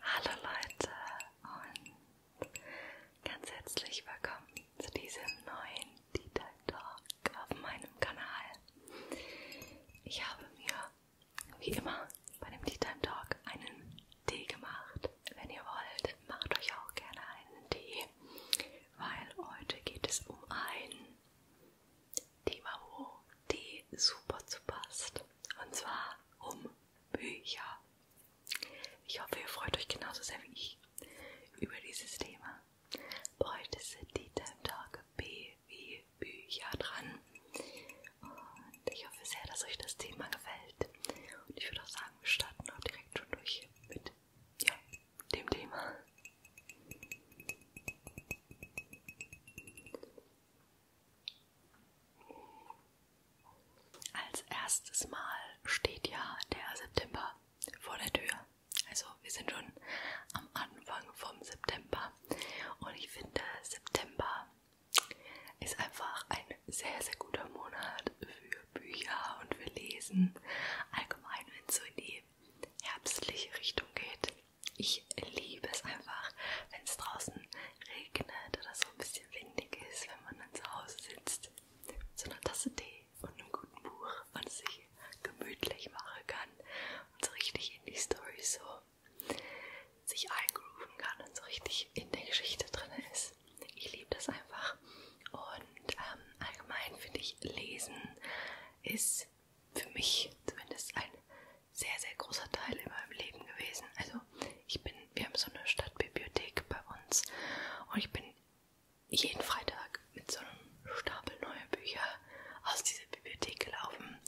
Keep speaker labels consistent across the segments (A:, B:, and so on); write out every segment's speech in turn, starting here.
A: Hallo Leute und ganz herzlich willkommen zu diesem neuen Detail Talk auf meinem Kanal. Ich habe mir wie immer bei dem Tea Time Talk einen Tee gemacht. Wenn ihr wollt, macht euch auch gerne einen Tee, weil heute geht es um ein Thema, wo Tee super zu passt. Und zwar um Bücher. Ich hoffe, ihr freut euch genauso sehr wie ich über dieses Thema. Heute sind die Time Talk B wie Bücher dran. Und ich hoffe sehr, dass euch das Thema gefällt. Und ich würde auch sagen, wir starten auch direkt schon durch mit ja, dem Thema. Als erstes Mal steht ja der September vor der Tür. Also wir sind schon am Anfang vom September und ich finde September ist einfach ein sehr, sehr guter Monat für Bücher und für Lesen. Allgemein, wenn es so in die herbstliche Richtung geht, ich liebe es einfach, wenn es draußen regnet oder so ein bisschen windig ist, wenn man dann zu Hause sitzt mit so einer Tasse Tee und einem guten Buch und sich gemütlich machen kann und so richtig in die Story so sich eingrooven kann und so richtig in der Geschichte drin ist. Ich liebe das einfach. Und ähm, allgemein finde ich, Lesen ist für mich zumindest ein sehr, sehr großer Teil in meinem Leben gewesen. Also ich bin, wir haben so eine Stadtbibliothek bei uns und ich bin jeden Freitag mit so einem Stapel neuer Bücher aus dieser Bibliothek gelaufen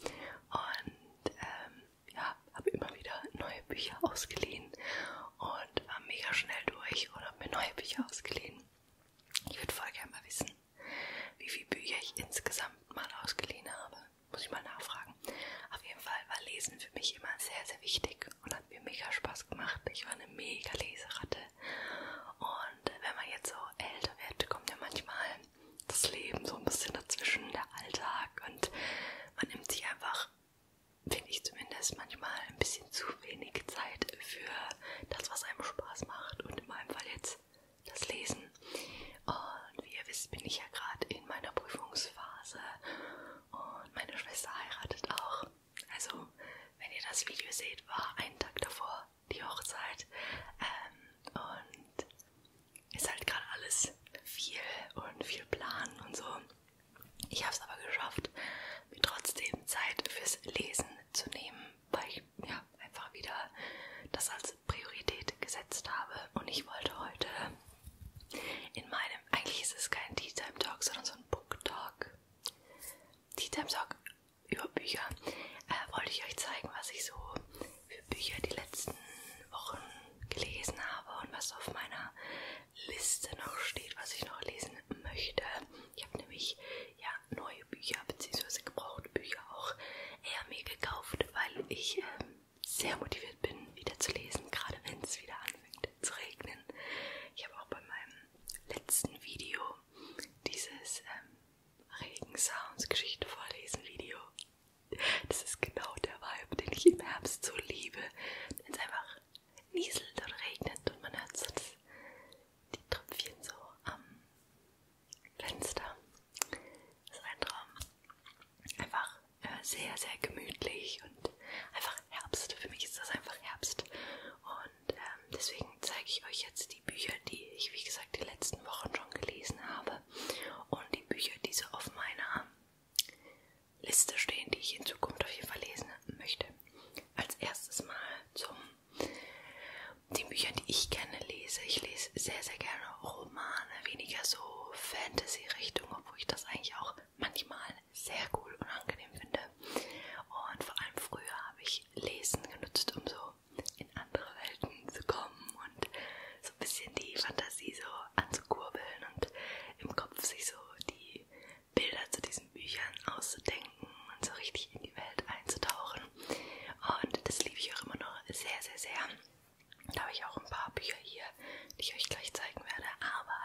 A: und ähm, ja, habe immer wieder neue Bücher ausgeliehen und war mega schnell durch und habe mir neue Bücher ausgeliehen. Ich würde voll gerne mal wissen, wie viele Bücher ich insgesamt mal ausgeliehen habe. Muss ich mal nachfragen. Auf jeden Fall war Lesen für mich immer sehr, sehr wichtig und hat mir mega Spaß gemacht. Ich war eine mega Leseratte. Und wenn man jetzt so älter wird, kommt ja manchmal das Leben so ein bisschen dazwischen, der Alltag. Und man nimmt sich einfach, finde ich zumindest, manchmal ein bisschen zu wenig Zeit für das, was einem Spaß macht. Und in meinem Fall jetzt das Lesen. Und wie ihr wisst, bin ich ja gerade in meiner Prüfungsphase und meine Schwester heiratet auch. Also, wenn ihr das Video seht, war ein Tag davor die Hochzeit. Ähm, und ist halt gerade alles viel und viel planen und so. Ich habe es aber geschafft, mir trotzdem Zeit fürs Lesen zu nehmen, weil ich ja, einfach wieder das als als Priorität gesetzt habe. Und ich wollte heute in meinem, eigentlich ist es kein Tea Time Talk, sondern so ein Book Talk. Tea Time Talk über Bücher. Äh, wollte ich euch zeigen, was ich so für Bücher die letzten Wochen gelesen habe und was auf meiner Liste noch steht, was ich noch lesen möchte. Ich habe nämlich ja neue Bücher bzw. gebrauchte Bücher auch eher mir gekauft, weil ich ähm, sehr motiviert bin, wieder zu lesen, gerade wenn es wieder anfängt zu regnen. Ich habe auch bei meinem letzten Video dieses ähm, Regensounds-Geschichte vorlesen Video. Das ist genau der Vibe, den ich im Herbst so liebe. Wenn es einfach nieselt und regnet und man hört so das, die Tröpfchen so am Fenster. Das ist ein Traum. Einfach äh, sehr, sehr gemütlich und einfach Herbst. Für mich ist das einfach Herbst. Und ähm, deswegen zeige ich euch jetzt die Bücher, die ich, wie gesagt, die letzten Wochen schon gelesen habe. Und die Bücher, die so auf meiner Liste stehen, die ich in Zukunft auf jeden Fall lesen möchte. Als erstes mal zum den Büchern, die ich gerne lese. Ich lese sehr, sehr gerne Romane, weniger so Fantasy-Richtung, obwohl ich das eigentlich auch manchmal sehr cool und angenehm finde. Und vor allem früher habe ich Lesen genutzt, um so in andere Welten zu kommen und so ein bisschen die Fantasie so anzukurbeln und im Kopf sich so die Bilder zu diesen Büchern auszudenken und so richtig in die Welt einzutauchen. Und das liebe ich auch immer noch sehr, sehr, sehr. Da habe ich auch ein paar Bücher hier, die ich euch gleich zeigen werde. Aber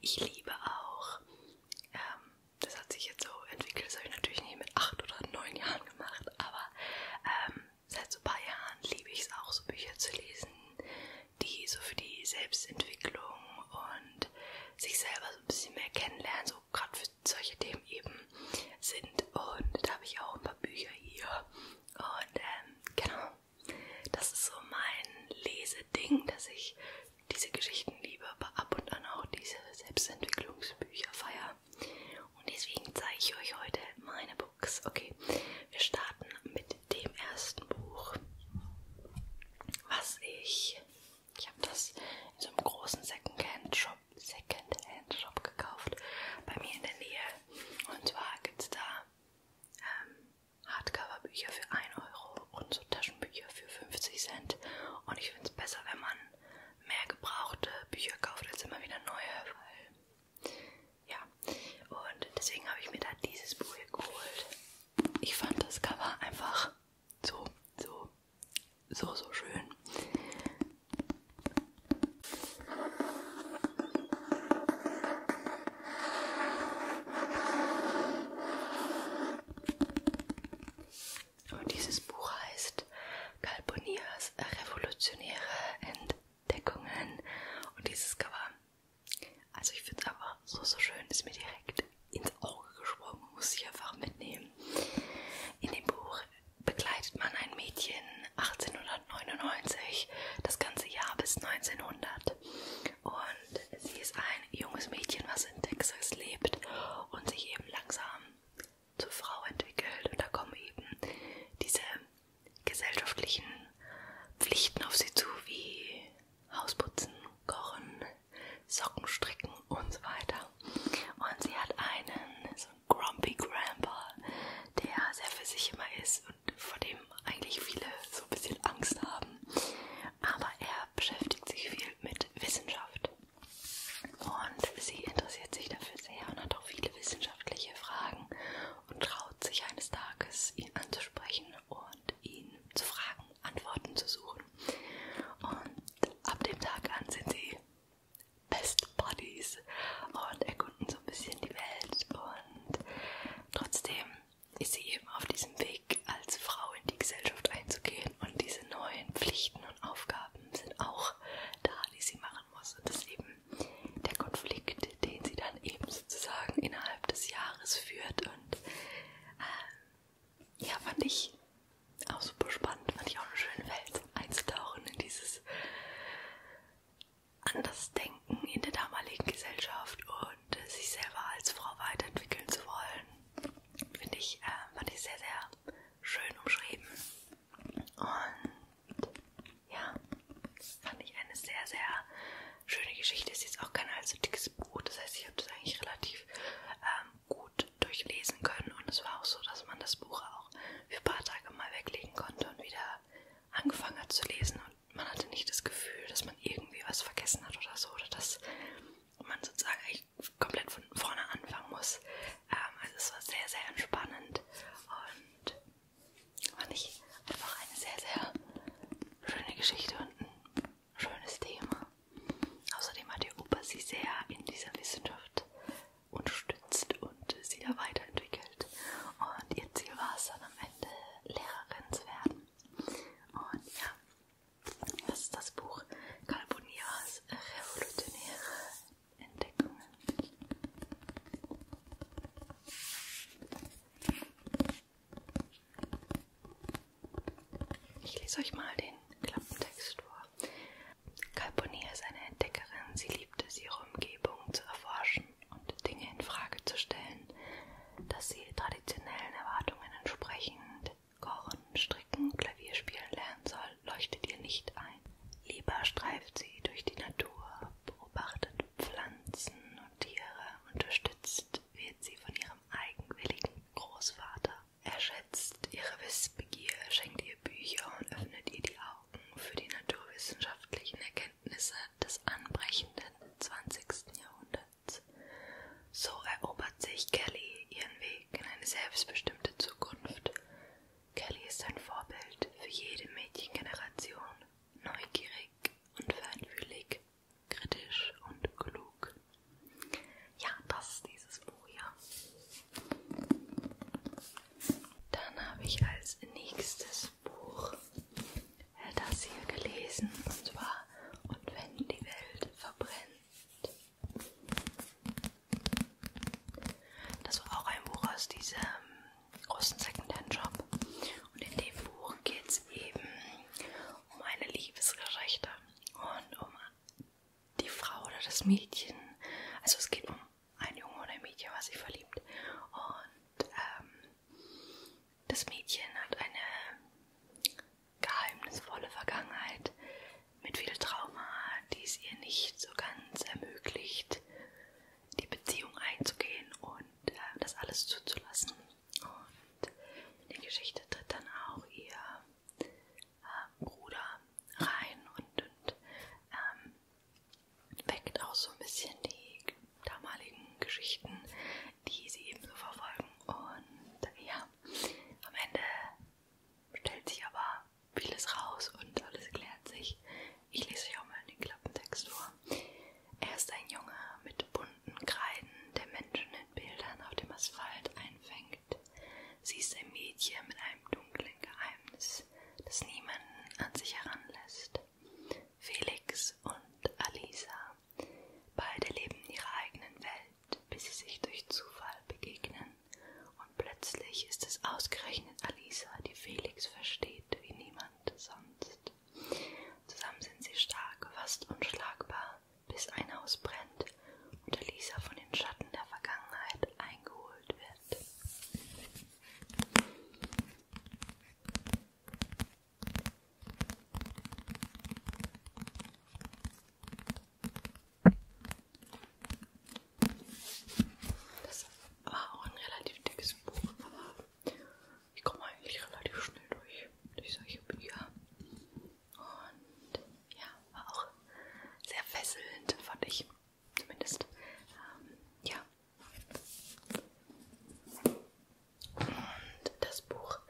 A: ich liebe auch, ähm, das hat sich jetzt so entwickelt, das habe ich natürlich nicht mit 8 oder 9 Jahren gemacht, aber ähm, seit so ein paar Jahren liebe ich es auch, so Bücher zu lesen, die so für die Selbstentwicklung und sich selber so ein bisschen mehr kennenlernen, so gerade für solche Themen eben sind. Und da habe ich auch ein paar Bücher hier. Und ähm, genau, das ist so mein Leseding, dass ich diese Geschichten liebe, aber ab und an auch diese Selbstentwicklungsbücher feier. Und deswegen zeige ich euch heute meine Books. Okay, wir starten mit dem ersten Buch, was ich. Ich habe das in so einem großen Secondhand-Shop Secondhand -Shop gekauft, bei mir in der Nähe. Und zwar gibt es da ähm, Hardcover-Bücher für 1 Euro und so Taschenbücher für 50 Cent. Und ich finde es besser, wenn man mehr gebrauchte Bücher kauft als immer wieder neue, weil ja. Und deswegen habe ich mir da dieses Buch hier geholt. Ich fand das Cover einfach so, so, so, so schön. Und dieses Buch heißt Calpurnias revolutionäre Entdeckungen. Und dieses Cover, also ich finde es aber so, so schön, ist mir direkt ins Auge gesprungen, muss ich einfach mitnehmen. In dem Buch begleitet man ein Mädchen 1899 das ganze Jahr bis 1900 und sie ist ein junges Mädchen, was in Texas lebt und sich eben langsam zur Frau entwickelt und da kommen eben diese gesellschaftlichen Pflichten auf sie zu wie Hausputzen, Kochen, Socken stricken und so weiter. Und sie hat einen so Grumpy Grandpa, der sehr für sich immer ist und vor dem eigentlich viele so ein bisschen Angst haben. Aber er beschäftigt sich viel mit Wissenschaft. Und sie interessiert sich dafür sehr und hat auch viele wissenschaftliche Fragen und traut sich eines Tages, ihn anzusprechen und ihn zu fragen, Antworten zu suchen. Und ab dem Tag an sind sie Best Buddies und erkunden so ein bisschen die Welt. Und trotzdem ist sie eben auf diesem Weg, als Frau in die Gesellschaft einzugehen. Und diese neuen Pflichten und Aufgaben sind auch da, die sie machen muss. Und das ist eben der Konflikt, den sie dann eben sozusagen innerhalb des Jahres führt. Und äh, ja, fand ich auch super spannend. Fand ich auch eine schöne Welt einzutauchen in dieses an das Denken in der damaligen Gesellschaft und äh, sich selber als Frau weiterentwickeln zu wollen, finde ich, äh, fand ich sehr, sehr schön umschrieben. Und ja, fand ich eine sehr, sehr schöne Geschichte. Ist jetzt auch kein allzu dickes Buch, das heißt, ich habe das eigentlich relativ ähm, gut durchlesen können und es war auch so, dass man das Buch auch für ein paar Tage mal weglegen konnte und wieder angefangen hat zu lesen und man hatte nicht das Gefühl, dass man irgendwie was vergessen hat oder so, oder dass man sozusagen eigentlich komplett von vorne anfangen muss. Ähm, also es war sehr, sehr entspannend und fand ich einfach eine sehr, sehr schöne Geschichte und ein schönes Thema. Außerdem hat die Opa sie sehr in dieser Wissenschaft unterstützt und sie da weiterentwickelt. Und ihr Ziel war es dann am Ende, Lehrerin zu werden. Und ja, das ist das Buch Calpurnias revolutionäre Entdeckungen. Ich lese euch mal den Klappentext vor. Calpurnia ist eine Entdeckerin. Sie liebt es, ihre Umgebung zu erforschen und Dinge in Frage zu stellen, dass sie traditionellen Erwartungen entsprechend kochen, stricken, Klavier spielen lernen soll, leuchtet ihr nicht ein. Lieber streift sie durch die Natur, beobachtet Pflanzen und Tiere, unterstützt wird sie von ihrem eigenwilligen Großvater. Er schätzt ihre Wissbegier, schenkt ihr Bücher und öffnet ihr die Augen. Augen für die naturwissenschaftlichen Erkenntnisse des anbrechenden 20. Jahrhunderts. So erobert sich Kelly ihren Weg in eine selbstbestimmte Zukunft. Kelly ist ein Vorbild für jede Mädchengeneration, neugierig und feinfühlig, kritisch und klug. Ja, das ist dieses Buch hier. Dann habe ich als nächstes Buch äh, das hier gelesen und zwar Und wenn die Welt verbrennt. Das war auch ein Buch aus diesem großen Secondhand-Shop und in dem Buch geht es eben um eine Liebesgeschichte und um die Frau oder das Mädchen. Also es geht um ein Junge und ein Mädchen war sich verliebt. Und ähm, das Mädchen hat eine geheimnisvolle Vergangenheit mit viel Trauma, die es ihr nicht so ganz ermöglicht, die Beziehung einzugehen und äh, das alles zuzulassen. Und in die Geschichte tritt dann auch ihr äh, Bruder rein und, und ähm, weckt auch so ein bisschen die damaligen Geschichten, die sie eben so verfolgen. Und ja, am Ende stellt sich aber
B: vieles raus
A: und alles klärt sich. Ich lese euch auch mal den Klappentext vor. Er ist ein Junge mit bunten Kreiden, der Menschen in Bildern auf dem Asphalt einfängt. Sie ist ein Mädchen mit einem dunklen Geheimnis. Herz, das niemanden an sich heranlässt. Felix und Alisa, beide leben in ihrer eigenen Welt, bis sie sich durch Zufall begegnen. Und plötzlich ist es ausgerechnet Alisa, die Felix versteht wie niemand sonst. Zusammen sind sie stark, fast unschlagbar, bis ein Haus brennt und Alisa von den Schatten der Vergangenheit eingeholt wird. Das war auch ein relativ dickes Buch, aber ich komme eigentlich relativ schnell durch, durch solche Bücher. Und ja, war auch sehr fesselnd, fand ich. Zumindest. Ähm, ja. Und das Buch,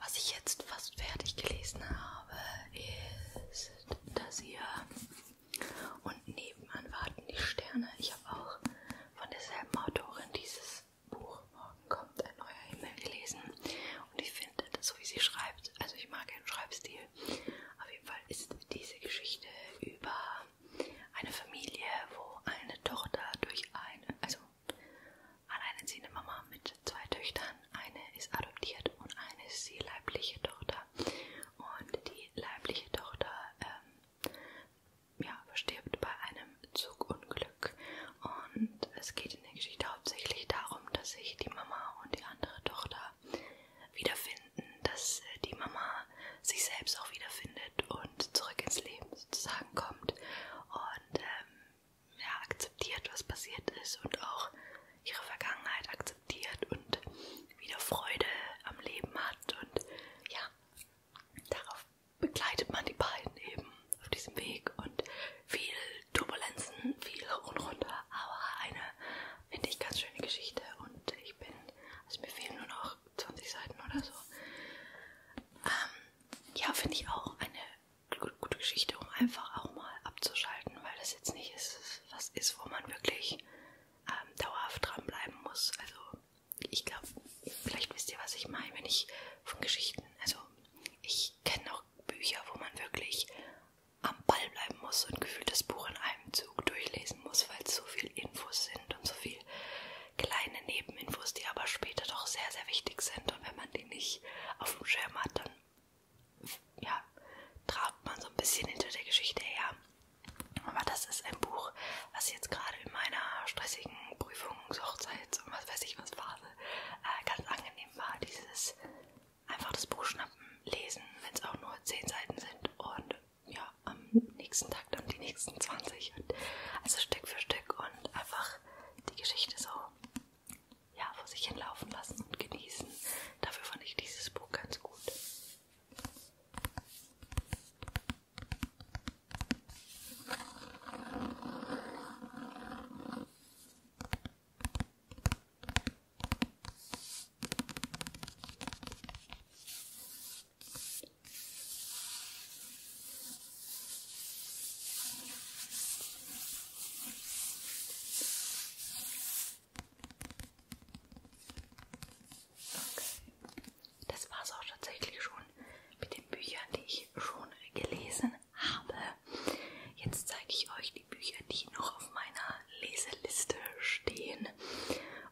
A: was ich jetzt fast fertig gelesen habe, ist das hier. Und nebenan warten die Sterne. Ich habe auch von derselben Autorin dieses Buch Morgen kommt ein neuer Himmel gelesen. Und ich finde, so wie sie schreibt, also ich mag ihren Schreibstil. Auf jeden Fall ist diese Geschichte über eine Familie, wo eine Tochter durch eine, also alleinerziehende Mama mit zwei Töchtern, eine ist adoptiert und eine ist die leibliche Tochter. Und die leibliche Tochter ähm, ja, stirbt bei einem Zugunglück. Und es geht in der Geschichte hauptsächlich darum, dass sich die Mama und die andere Tochter wiederfinden, dass äh, die Mama sich selbst auch wiederfindet und zurück ins Leben sozusagen kommt und ähm, ja, akzeptiert, was passiert ist und auch ihre Vergangenheit akzeptiert und wieder Freude am Leben hat und ja, darauf begleitet man die beiden eben auf diesem Weg und viel Turbulenzen, viel hoch und runter, aber eine, finde ich, ganz schöne Geschichte und ich bin, also mir fehlen nur noch auch 20 Seiten oder so. Ähm, ja, finde ich auch eine gute Geschichte, um einfach auch mal abzuschalten, weil das jetzt nicht ist, was ist, wo man wirklich ähm, dauerhaft dranbleiben muss. Also ich glaube, vielleicht wisst ihr, was ich meine, wenn ich von Geschichten, also ich kenne auch Bücher, wo man wirklich am Ball bleiben muss und gefühlt das Buch in einem Zug durchlesen vorlesen muss, weil es so viel Infos sind und so viel kleine Nebeninfos, die aber später doch sehr, sehr wichtig sind. Und wenn man die nicht auf dem Schirm hat, dann ja, trabt man so ein bisschen hinter der Geschichte her. Aber das ist ein Buch, was jetzt gerade in meiner stressigen Prüfungs-, Hochzeits- und was weiß ich was Phase äh, ganz angenehm war. Dieses einfach das Buch schnappen, lesen, wenn es auch nur zehn Seiten sind und ja, am nächsten Tag dann die nächsten 20. Und also Stück für Stück und einfach die Geschichte so ja, vor sich hinlaufen lassen und genießen. Dafür fand ich dieses Buch ganz gut. Okay. Das war es auch tatsächlich schon mit den Büchern, die ich schon gelesen habe. Jetzt zeige ich euch die Bücher, die noch auf meiner Leseliste stehen.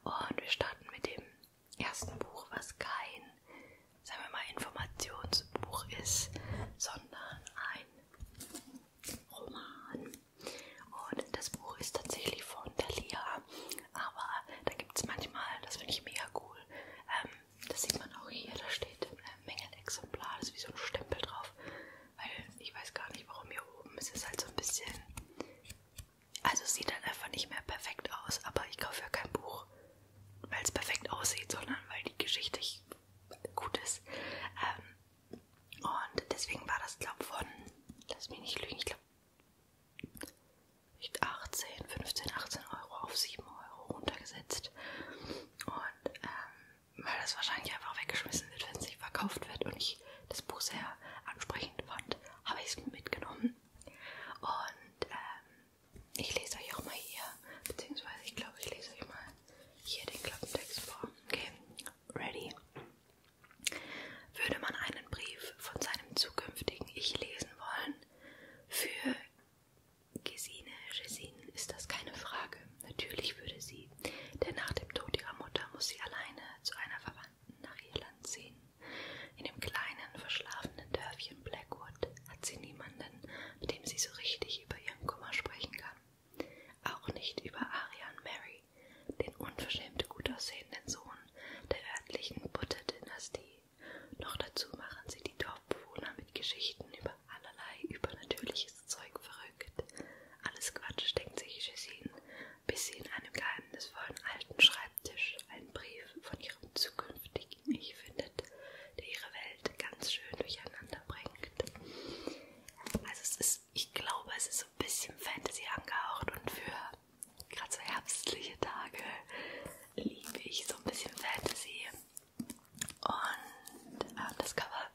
A: Und wir starten mit dem ersten Buch, was kein, sagen wir mal, Informationsbuch ist, sondern ein Roman. Und das Buch ist tatsächlich von Thalia, aber da gibt es manchmal, das finde ich mega cool, ähm, das sieht man auch hier, da steht äh, Mängelexemplar, das ist wie so ein Stempel drauf, weil ich weiß gar nicht, warum hier oben, es ist halt so ein bisschen also es sieht dann halt einfach nicht mehr perfekt aus, aber ich kaufe ja kein Buch, weil es perfekt aussieht, sondern weil die Geschichte gut ist. Ähm, und deswegen war das, glaube ich, von, lass mich nicht lügen, ich glaube, 18, 15, 18 Euro auf 7 Euro runtergesetzt. Und ähm, weil das wahrscheinlich einfach weggeschmissen wird, wenn es nicht verkauft wird und ich das Buch sehr ansprechend fand, habe ich es mitgenommen. Und ähm, ich lese euch auch mal hier, beziehungsweise ich glaube, ich lese euch mal hier den Klappentext vor. Okay, ready? Würde man einen Brief von seinem zukünftigen Ich lesen wollen? Für Gesine Gesine ist das keine Frage. Natürlich würde sie, denn nach dem Tod ihrer Mutter muss sie alleine zu einer Verwandten nach Irland ziehen. In dem kleinen, verschlafenen Dörfchen Blackwood hat sie niemanden, mit dem sie so richtig über ihren Kummer sprechen kann. Auch nicht über Arian Mary, den unverschämt gut aussehenden Sohn der örtlichen Butter-Dynastie. Noch dazu machen sie die Dorfbewohner mit Geschichten über allerlei übernatürliches Zeug verrückt. Alles Quatsch, denkt sich Jessine, bis sie in einem geheimnisvollen alten Schreibtisch einen Brief von ihrem zukünftigen Ich findet, der ihre Welt ganz schön durcheinander bringt. Also es ist, ich glaube, es ist so ein bisschen Fantasy angehaucht und für gerade so herbstliche Tage liebe ich so ein bisschen Fantasy. Und äh, das Cover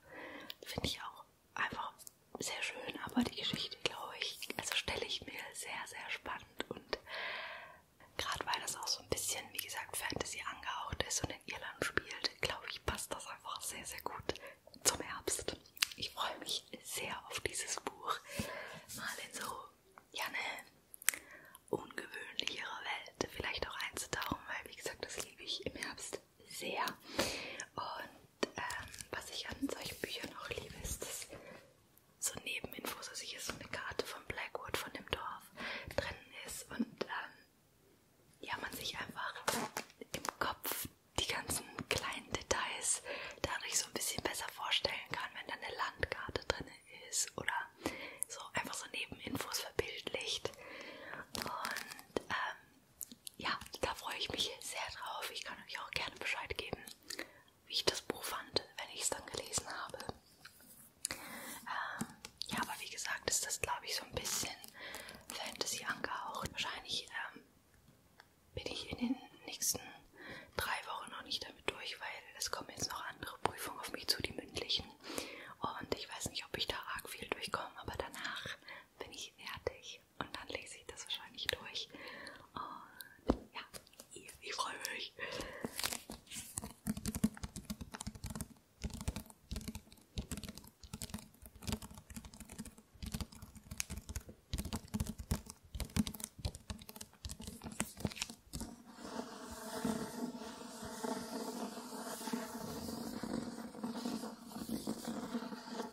A: finde ich auch einfach sehr schön, aber die Geschichte, glaube ich, also stelle ich mir sehr, sehr spannend und gerade weil das auch so ein bisschen, wie gesagt, Fantasy angehaucht ist und in Irland spielt, glaube ich, passt das einfach sehr, sehr gut zum Herbst. Ich freue mich sehr auf dieses Buch, mal in so, ja, eine ungewöhnlichere Welt vielleicht auch einzutauchen, weil, wie gesagt, das liebe ich im Herbst sehr. Und ähm, was ich an solchen Büchern auch liebe, ist das so Nebeninfos, also hier ist so eine Karte von Blackwood, von dem Dorf drin ist und ähm, ja, man sich einfach im Kopf die ganzen kleinen Details dadurch so ein bisschen besser vorstellen kann, wenn da eine Landkarte drin ist oder so einfach so Nebeninfos verbildlicht. Und ähm, ja, da freue ich mich sehr drauf. Ich kann euch auch gerne Bescheid geben, wie ich das Buch fand, wenn ich es dann gelesen habe. Ähm, ja, aber wie gesagt, ist das, glaube ich, so ein bisschen Fantasy angehaucht. Wahrscheinlich ähm, bin ich in den nächsten drei Wochen noch nicht damit durch, weil es kommen jetzt noch andere Prüfungen auf mich zu, die mündlichen. Und ich weiß nicht, ob ich da arg viel durchkomme, aber danach bin ich fertig und dann lese ich das wahrscheinlich durch. Und ja, ich, ich freue mich.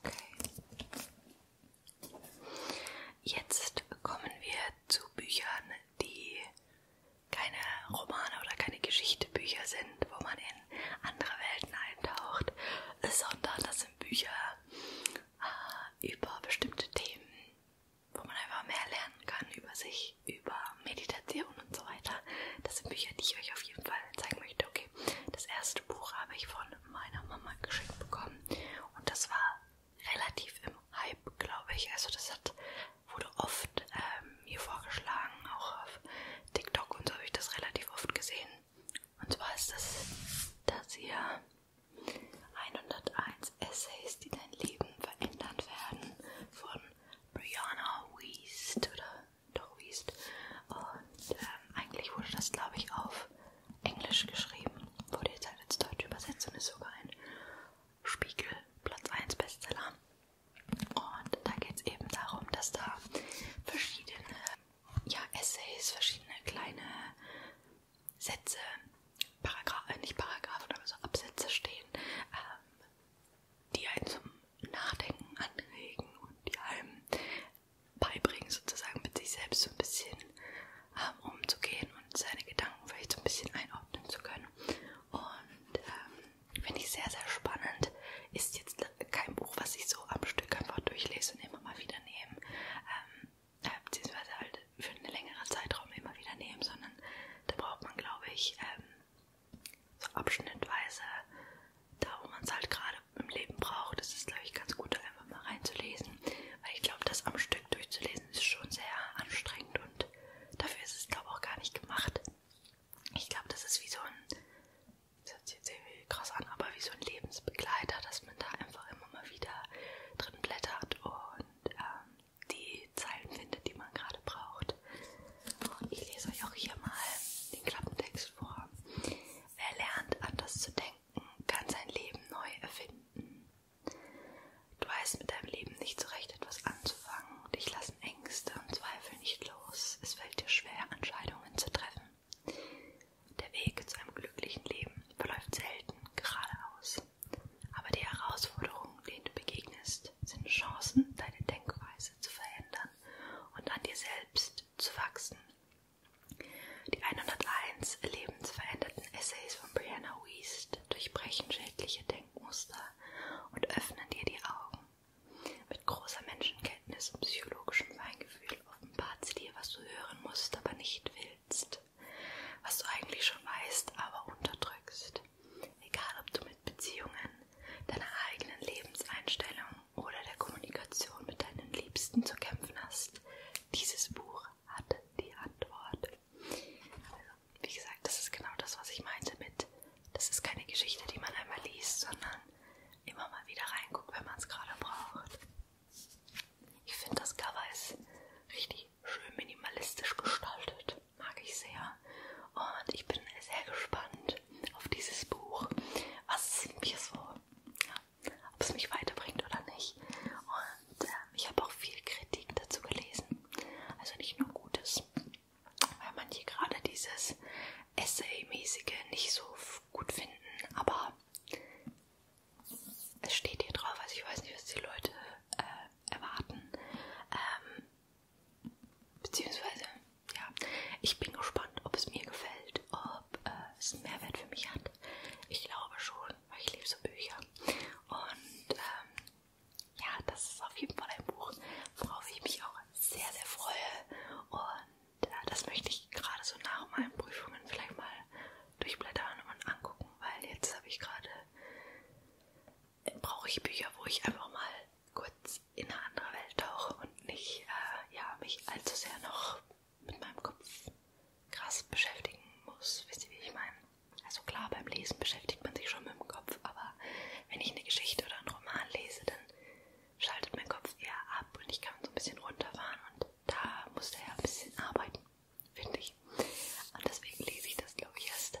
A: Okay. Jetzt kommen wir zu Büchern, die keine Romane oder keine Geschichtebücher sind, wo man in andere Welten eintaucht, sondern das sind Bücher äh, über bestimmte Themen, wo man einfach mehr lernen kann über sich natürlich über Meditation und so weiter. Das sind Bücher, die ich euch auf jeden Fall zeigen möchte. Okay, das erste Buch habe ich von meiner Mama geschenkt bekommen und das war relativ im Hype, glaube ich. Also das hat, wurde oft ähm, mir vorgeschlagen, auch auf TikTok und so habe ich das relativ oft gesehen. Und zwar ist das das hier 101 Essays, die dein Leben verändern werden von Brianna Wiest oder doch Wiest. Und ähm, eigentlich wurde das, glaube ich, auf Englisch geschrieben. Wurde jetzt halt ins Deutsche übersetzt und ist sogar ein Spiegel Platz 1 Bestseller. Und da geht es eben darum, dass da verschiedene ja, Essays, verschiedene kleine Sätze, Paragraph, äh, nicht Paragraphen, aber so Absätze stehen, ähm, die einen zum Nachdenken anregen und die einem beibringen, sozusagen mit sich selbst so ein bisschen ähm, umzugehen und seine Gedanken vielleicht so ein bisschen einordnen zu können. Und ähm, finde ich sehr, sehr spannend. Ist jetzt kein Buch, was ich so am Stück einfach durchlese und immer mal wieder nehme, ähm, äh, beziehungsweise halt für einen längeren Zeitraum immer wieder nehme, sondern da braucht man, glaube ich, ähm, so abschnittweise, da wo man es halt gerade im Leben braucht, das ist glaube ich ganz gut, da einfach mal reinzulesen, weil ich glaube, das am Stück durchzulesen ist schon sehr anstrengend und dafür ist es glaube ich auch gar nicht gemacht. Ich glaube, das ist wie so ein, das hört sich jetzt irgendwie krass an, aber wie so ein Lebensbegleiter, dass man da einfach immer mal wieder drin blättert und ähm, die Zeilen findet, die man gerade braucht. Und ich lese euch auch hier mal den Klappentext vor. Wer lernt, anders zu denken, kann sein Leben neu erfinden. Du weißt mit deinem Leben nicht so recht etwas anzufangen. Dich lassen Ängste und Zweifel nicht los. Es fällt dir schwer, Entscheidungen zu treffen. Der Weg zu einem glücklichen Leben verläuft selten geradeaus. Aber die Herausforderungen, denen du begegnest, selbst sind Chancen, deine Denkweise zu verändern und an dir selbst zu wachsen. Die 101 lebensveränderten Essays von Brianna Wiest durchbrechen schädliche Denkmuster und öffnen dir die Augen. Mit großer Menschenkenntnis und psychologischem Feingefühl offenbart sie dir, was du hören musst, aber nicht willst. Was du eigentlich schon weißt, aber unterdrückst. Egal ob du mit Beziehungen, deiner eigenen Lebenseinstellung oder der Kommunikation mit deinen Liebsten zu kämpfen hast, dieses Buch hat die Antwort. Also, wie gesagt, das ist genau das, was ich meinte mit, das ist keine Geschichte, die man einmal liest, sondern immer mal wieder reinguckt, wenn man es gerade braucht. Ich finde, das Cover ist richtig schön minimalistisch gestaltet mag ich sehr. Und ich bin sehr gespannt auf dieses Buch, was mir so, ja, ob es mich weiterbringt oder nicht. Und äh, ich habe auch viel Kritik dazu gelesen, also nicht nur Gutes, weil manche gerade dieses Essay-mäßige nicht so gut finden, aber es steht hier drauf, also ich weiß nicht, was die Leute äh, erwarten. Ähm, Beziehungsweise, ja, ich bin gespannt, ob es mir gefällt, ob äh, es einen Mehrwert für mich hat. Ich glaube schon, weil ich liebe so Bücher. Und ähm, ja, das ist auf jeden Fall ein Buch, worauf ich mich auch sehr, sehr freue. Und äh, das möchte ich gerade so nach meinen Prüfungen vielleicht mal durchblättern und angucken, weil jetzt habe ich gerade brauche ich Bücher, wo ich einfach mal kurz in eine andere Welt tauche und nicht äh, ja, mich allzu sehr noch mit meinem Kopf krass beschäftigen muss. Wisst ihr, wie ich meine? Also klar, beim Lesen beschäftigt man sich schon mit dem Kopf, aber wenn ich eine Geschichte oder einen Roman lese, dann schaltet mein Kopf eher ab und ich kann so ein bisschen runterfahren und da muss er ja ein bisschen arbeiten, finde ich. Und deswegen lese ich das, glaube ich, erst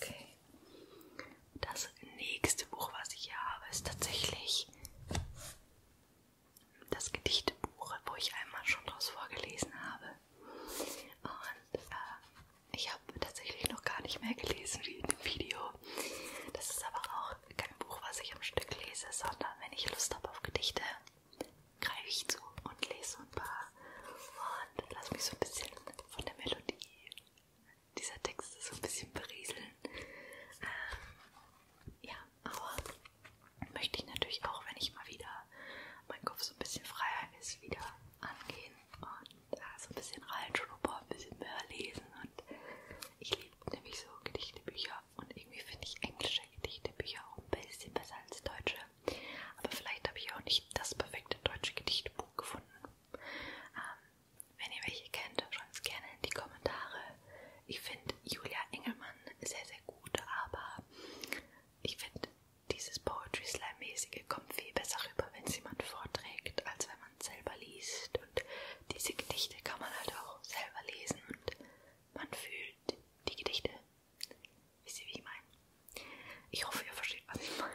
A: Okay. Das nächste Buch, was ich hier habe, ist tatsächlich das Gedichtebuch, wo ich einmal schon draus vorgelesen habe. Und äh, ich habe tatsächlich noch gar nicht mehr gelesen wie in dem Video. Das ist aber auch kein Buch, was ich am Stück lese, sondern wenn ich Lust habe auf Gedichte, greife ich zu und lese ein paar und lasse mich so ein bisschen von der Melodie dieser Texte so ein bisschen berieseln. Ähm, ja, aber möchte ich natürlich auch, wenn ich mal wieder mein Kopf so ein bisschen freier ist, wieder angehen und äh, so ein bisschen reinschnuppern, ein bisschen mehr lesen und ich liebe nämlich so Gedichtebücher und irgendwie finde ich englische Gedichtebücher auch ein bisschen besser als deutsche. Aber vielleicht habe ich auch nicht das perfekte deutsche Gedichtbuch gefunden. Ähm, wenn ihr welche kennt, schreibt es gerne in die Kommentare. Ich finde Julia Engelmann sehr, sehr gut, aber ich finde dieses Poetry Slam-mäßige kommt viel besser rüber, wenn es jemand vorträgt, als wenn man es selber liest. Und diese Gedichte kann man halt auch selber lesen und man fühlt die Gedichte. Wisst ihr, wie ich meine? Ich hoffe, ihr versteht, was ich meine.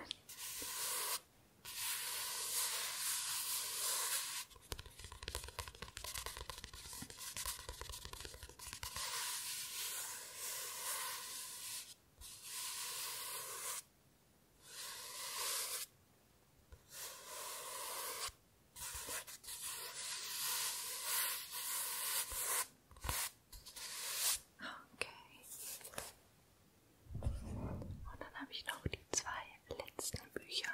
A: Okay. Und dann habe ich noch die zwei letzten Bücher.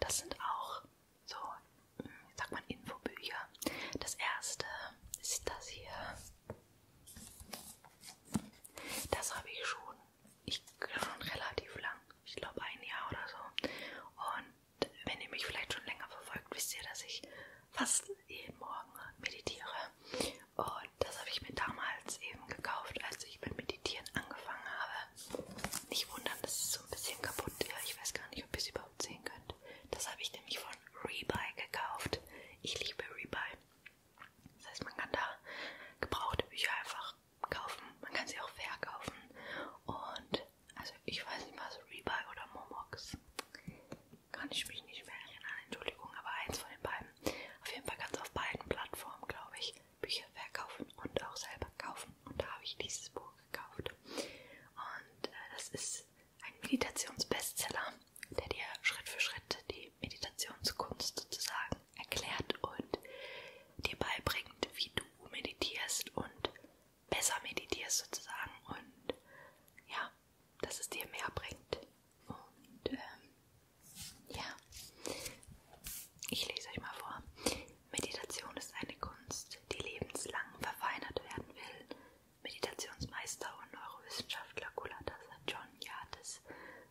A: Das sind auch so, ich hm, sag mal, Infobücher. Das erste ist das hier. Das habe ich schon, ich schon relativ lang, ich glaube ein Jahr oder so. Und wenn ihr mich vielleicht schon länger verfolgt, wisst ihr, dass ich fast jeden Morgen meditiere. Und das habe ich mir damals eben gekauft, als ich mit Meditieren angefangen habe. Nicht wundern, das ist so ein bisschen kaputt. Ja, ich weiß gar nicht, ob ihr es überhaupt sehen könnt. Das habe ich nämlich von Rebuy gekauft. Ich liebe Rebuy. Das heißt, man kann da gebrauchte Bücher einfach kaufen. Man kann sie auch verkaufen. Und also ich weiß nicht was, Rebuy oder Momox. Kann ich mich nicht mehr erinnern, Entschuldigung, aber eins von den beiden. Auf jeden Fall ganz auf beiden Plattformen, glaube ich, Bücher verkaufen und auch selber kaufen. Und da habe ich dieses Buch gekauft. Und äh, das ist ein Meditationsbestseller, der dir Schritt für Schritt die Meditationskunst sozusagen erklärt und dir beibringt, wie du meditierst und besser meditierst sozusagen und ja, dass es dir mehr bringt. Und ähm, ja, ich lese euch mal vor. Meditation ist eine Kunst, die lebenslang verfeinert werden will. Meditationsmeister und Neurowissenschaftler Kulata John Yates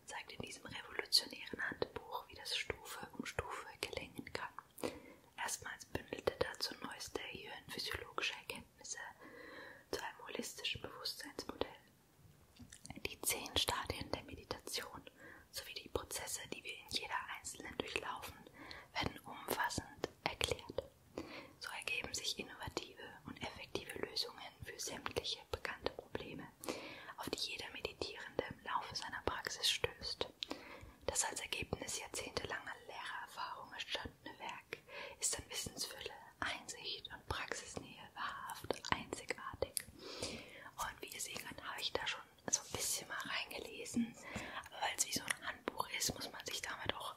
A: zeigt in diesem revolutionären Handbuch, wie das Stufe um Stufe gelingen kann. Erstmals bündelte dazu neueste hirnphysiologische Erkenntnisse zu einem holistischen Bewusstseinsmodell. Die zehn Stadien der Meditation sowie die Prozesse, die wir in jeder einzelnen durchlaufen, werden umfassend erklärt. So ergeben sich innovative und effektive Lösungen für sämtliche bekannte Probleme, auf die jeder Meditierende im Laufe seiner Praxis stößt. Das als Ergebnis jahrzehntelanger Lehrererfahrung entstandene Werk ist an Wissensfülle, Einsicht und Praxisnähe wahrhaft einzigartig. Und wie ihr sehen könnt, habe ich da schon so ein bisschen mal reingelesen. Aber weil es wie so ein Handbuch ist, muss man sich damit auch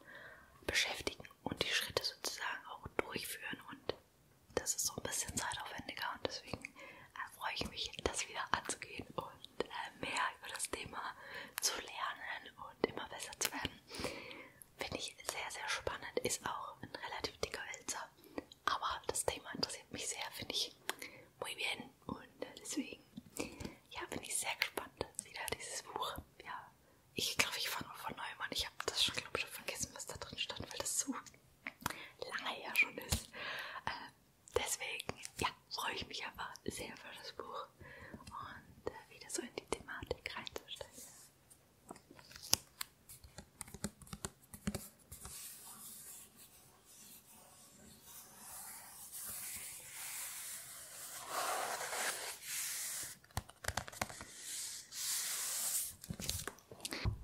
A: beschäftigen und die Schritte sozusagen auch durchführen. Und das ist so ein bisschen zeitaufwendiger und deswegen freue ich mich, das wieder anzugehen. Und und äh, mehr über das Thema zu lernen und immer besser zu werden. Finde ich sehr, sehr spannend. Ist auch ein relativ dicker Wälzer. Aber das Thema interessiert mich sehr, finde ich muy bien. Und äh, deswegen ja, bin ich sehr gespannt wieder dieses Buch. Ja, ich glaube, ich fange von neuem an. Ich habe das schon, glaube ich, schon vergessen, was da drin stand, weil das so lange ja schon ist. Äh, deswegen ja, freue ich mich aber sehr für das Buch und äh, wieder so in die Thematik reinzusteigen.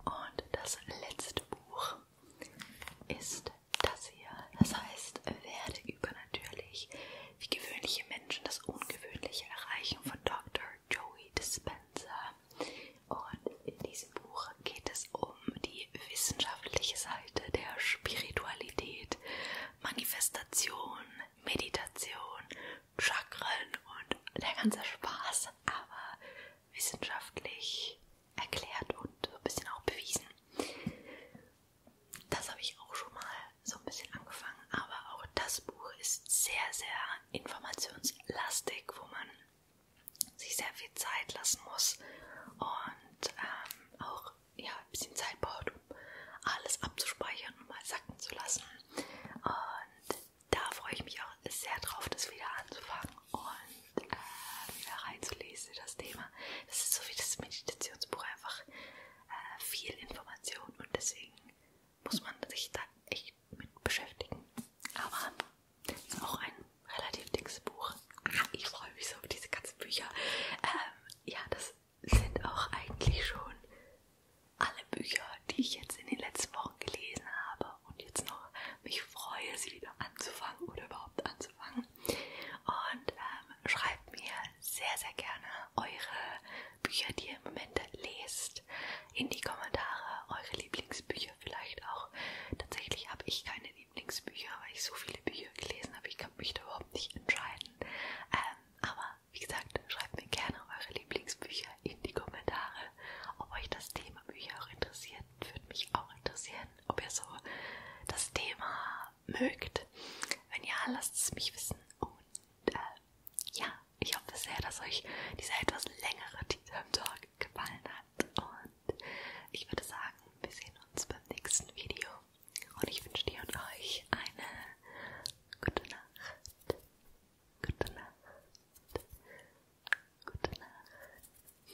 A: Und das letzte Buch ist das hier. Das heißt, werde übernatürlich, wie gewöhnliche Menschen das Ungewöhnliche erreichen von Dr. Joey Dispenza. Und in diesem Buch geht es um die wissenschaftliche Seite der Spiritualität, Manifestation, Meditation, Chakren und der ganze Spaß, aber wissenschaftlich erklärt und so ein bisschen auch bewiesen. Das habe ich auch schon mal so ein bisschen angefangen, aber auch das Buch ist sehr, sehr informationslastig, wo man sich sehr viel Zeit lassen muss und ähm, auch ja, ein bisschen Zeit braucht, um alles abzuspeichern und mal sacken zu lassen. Und da freue ich mich auch sehr drauf, das wieder anzufangen. Und äh, wieder reinzulesen in das Thema. Das ist so wie das Meditationsbuch, einfach äh, viel Information und deswegen muss man sich da echt mit beschäftigen. Aber es ist auch ein relativ dickes Buch. Ich freue mich so auf diese ganzen Bücher. Ähm, ja, das sind auch eigentlich schon alle Bücher, die ich jetzt in den letzten Wochen gelesen habe und jetzt noch mich freue, sie wieder anzufangen oder überhaupt anzufangen. Und ähm, schreibt mir sehr, sehr gerne eure Bücher, die ihr im Moment lest, in die Kommentare. Eure Lieblingsbücher vielleicht auch. Tatsächlich habe ich keine Lieblingsbücher, weil ich so viele Bücher gelesen habe. Ich kann mich da überhaupt nicht entscheiden. Ähm, aber wie gesagt, schreibt mir gerne eure Lieblingsbücher in die Kommentare. Ob euch das Thema Bücher auch interessiert, würde mich auch interessieren sein, ob ihr so das Thema mögt. Wenn ja, lasst es mich wissen. Und äh, ja, ich hoffe sehr, dass euch dieser etwas längere Tea Time Talk gefallen hat. Und ich würde sagen, wir sehen uns beim nächsten Video. Und ich wünsche dir und euch eine gute Nacht. Gute Nacht. Gute Nacht.